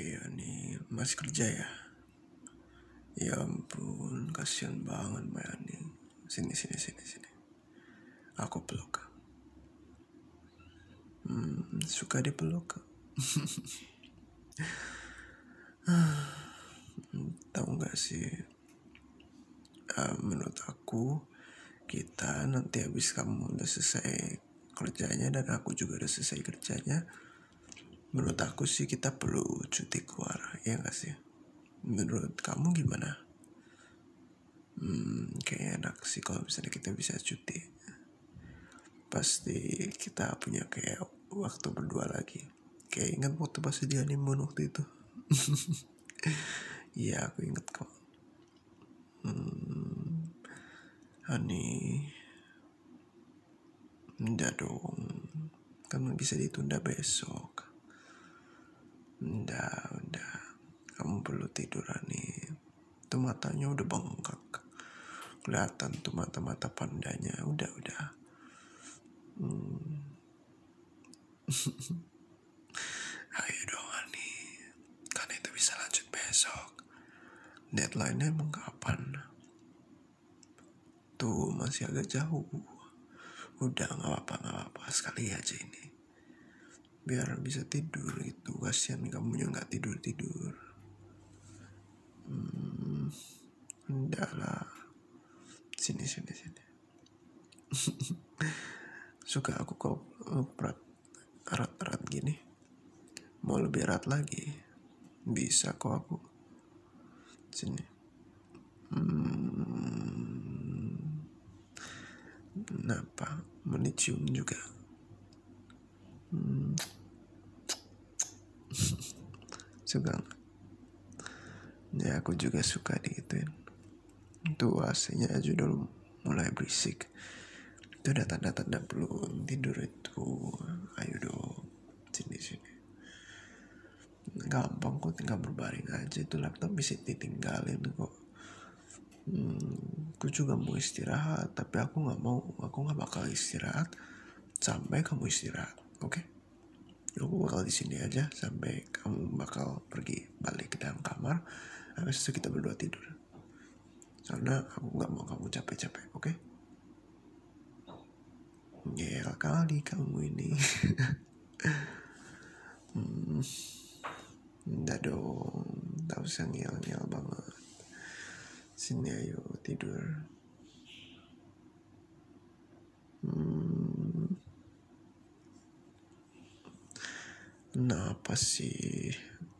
Iya nih, masih kerja ya? Ya ampun, kasihan banget Mbak Ani. Sini, sini, sini, sini. Aku peluk. Hmm, suka dipeluk. tahu nggak sih uh, menurut aku kita nanti habis kamu udah selesai kerjanya dan aku juga udah selesai kerjanya menurut aku sih kita perlu cuti keluar ya nggak sih menurut kamu gimana hmm, kayaknya enak sih kalau misalnya kita bisa cuti pasti kita punya kayak waktu berdua lagi kayak ingat waktu pas di honeymoon waktu itu iya aku inget kok hmm, honey enggak dong kan bisa ditunda besok Nda, udah kamu perlu tiduran nih tuh matanya udah bengkak kelihatan tuh mata-mata pandanya udah udah Hmm. Ayo dong Ani, kan itu bisa lanjut besok. Deadline-nya emang kapan? Tuh masih agak jauh. Udah nggak apa-apa nggak apa sekali aja ini. Biar bisa tidur itu kasian kamu nggak tidur tidur. Hmm. Enggak lah. Sini, sini, sini. Suka aku kok eh, erat erat gini. Mau lebih erat lagi. Bisa kok aku. Sini. Hmm. Kenapa? Mau juga. Hmm. suka ya aku juga suka digituin itu ac aja udah mulai berisik itu udah tanda-tanda belum tidur itu ayo dong sini sini gampang kok tinggal berbaring aja itu laptop bisa ditinggalin kok hmm, aku juga mau istirahat tapi aku nggak mau aku nggak bakal istirahat sampai kamu istirahat oke okay? aku bakal di sini aja sampai kamu bakal pergi balik ke dalam kamar habis itu kita berdua tidur karena aku nggak mau kamu capek-capek oke okay? Ngeyel kali kamu ini hmm, dong Tak usah ngeyel banget Sini ayo tidur nah Kenapa sih?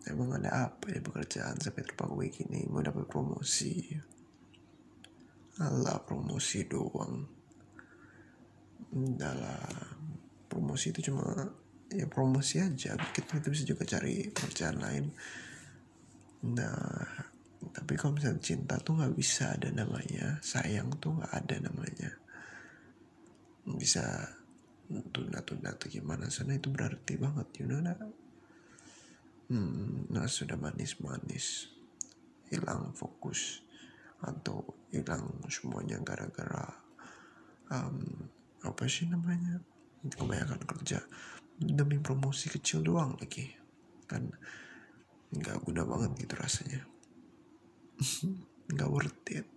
Emang ada apa ya pekerjaan sampai terpaku begini? mau dapat promosi? allah promosi doang. dalam Promosi itu cuma ya promosi aja. Kita, itu bisa juga cari pekerjaan lain Nah, tapi kalau misalnya cinta tuh nggak bisa ada namanya, sayang tuh nggak ada namanya. Bisa tunda-tunda tuh gimana sana itu berarti banget, you know nah. Hmm, nah sudah manis-manis, hilang fokus atau hilang semuanya gara-gara um, apa sih namanya kebanyakan kerja demi promosi kecil doang lagi kan nggak guna banget gitu rasanya nggak worth it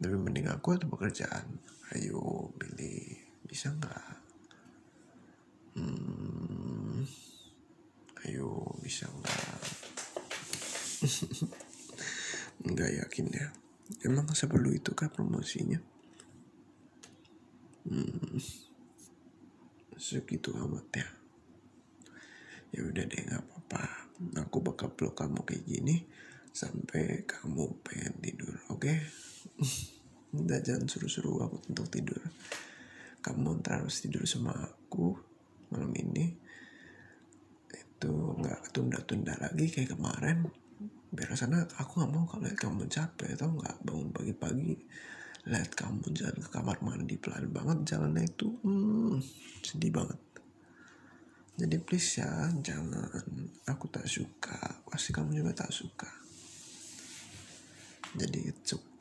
tapi mending aku atau pekerjaan ayo pilih bisa nggak hmm, ayo bisa nggak nggak yakin ya Emang sebelum itu kah promosinya? Hmm, segitu amat ya. Ya udah deh nggak apa-apa. Aku bakal peluk kamu kayak gini sampai kamu pengen tidur, oke? Okay? Udah jangan suruh-suruh aku untuk tidur. Kamu harus tidur sama aku malam ini. Itu nggak tunda-tunda lagi kayak kemarin biasanya aku nggak mau kalau lihat kamu capek tau nggak bangun pagi-pagi lihat kamu jalan ke kamar mandi pelan banget jalannya itu hmm, sedih banget jadi please ya jangan aku tak suka pasti kamu juga tak suka jadi it's okay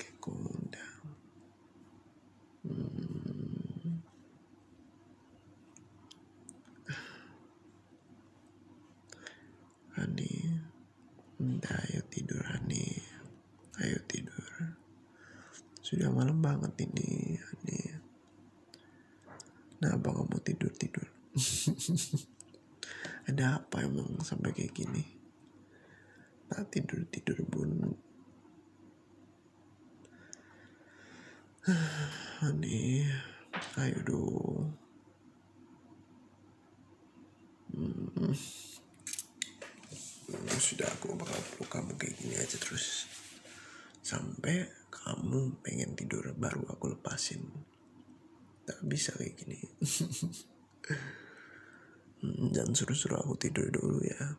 Hani, Entah ayo tidur Hani, ayo tidur. Sudah malam banget ini Hani. Nah, apa kamu tidur tidur. Ada apa emang sampai kayak gini? Nah tidur tidur bun. Honey, ayo dong. Hmm. hmm. Sudah aku bakal peluk kamu kayak gini aja terus. Sampai kamu pengen tidur baru aku lepasin. Tak bisa kayak gini. Hmm, jangan suruh-suruh aku tidur dulu ya.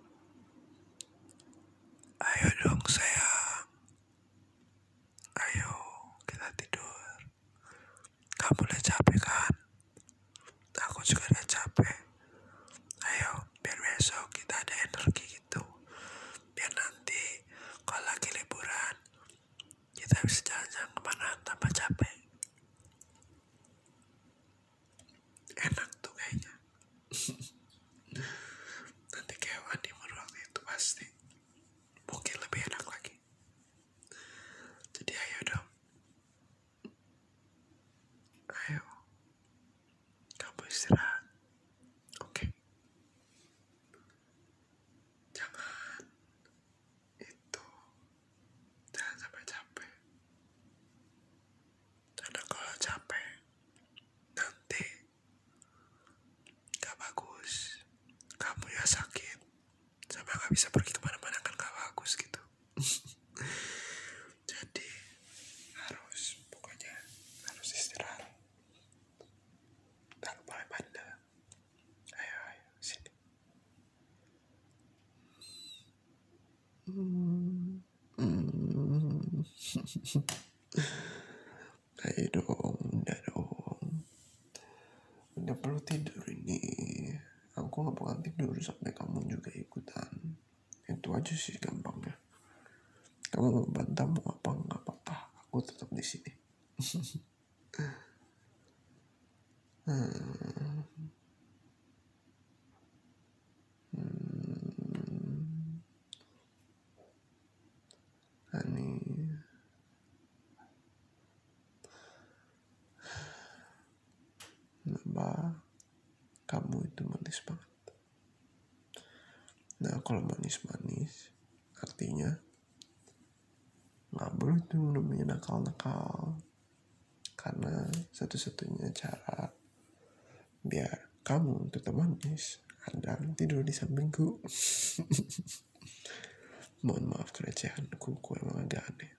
Ayo dong sayang. Ayo, kita tidur. Kamu udah capek kan? Aku juga udah capek. Ayo, biar besok kita ada energi gitu. Biar nanti kalau lagi liburan, kita bisa jalan-jalan kemana tanpa capek. Enak tuh kayaknya. nanti kayak anime waktu itu pasti mungkin lebih enak lagi jadi ayo dong ayo kamu istirahat oke jangan itu jangan sampai capek karena kalau capek nanti Gak bagus. Kamu ya sakit. Sama gak bisa pergi kemana-mana kan gak bagus gitu. Jadi harus pokoknya harus istirahat. Tak boleh bandel. Ayo, ayo, sini. Hmm. hmm. Ayo gitu, dong, bunda dong. Bunda perlu tidur ini. Aku nggak bakal tidur sampai kamu juga ikutan. Itu aja sih gampangnya. Kamu mau bantah mau apa nggak apa-apa. Aku tetap di sini. Hmm. Hmm. Hani Mbak, kamu itu manis banget. Nah, kalau manis-manis, artinya nggak boleh tuh namanya nakal-nakal. Karena satu-satunya cara biar kamu tetap manis anda tidur di sampingku mohon maaf kerecehanku ku emang agak aneh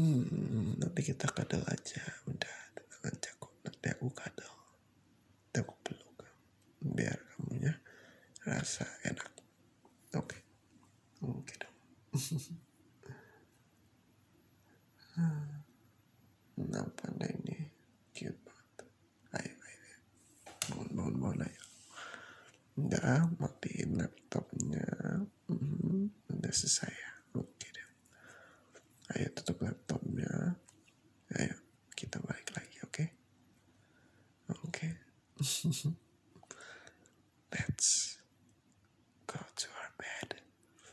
hmm, nanti kita kadal aja udah tenang aja nanti aku kadal nanti aku peluk biar kamunya rasa enak oke okay. oke okay dong Nah, panda ini cute banget. Ayo, ayo, ayo. Bangun, bangun, bangun, ayo. Udah, matiin laptopnya. udah mhm, selesai ya. Oke deh. Ayo tutup laptopnya. Ayo, kita balik lagi, oke? Oke. Let's go to our bed.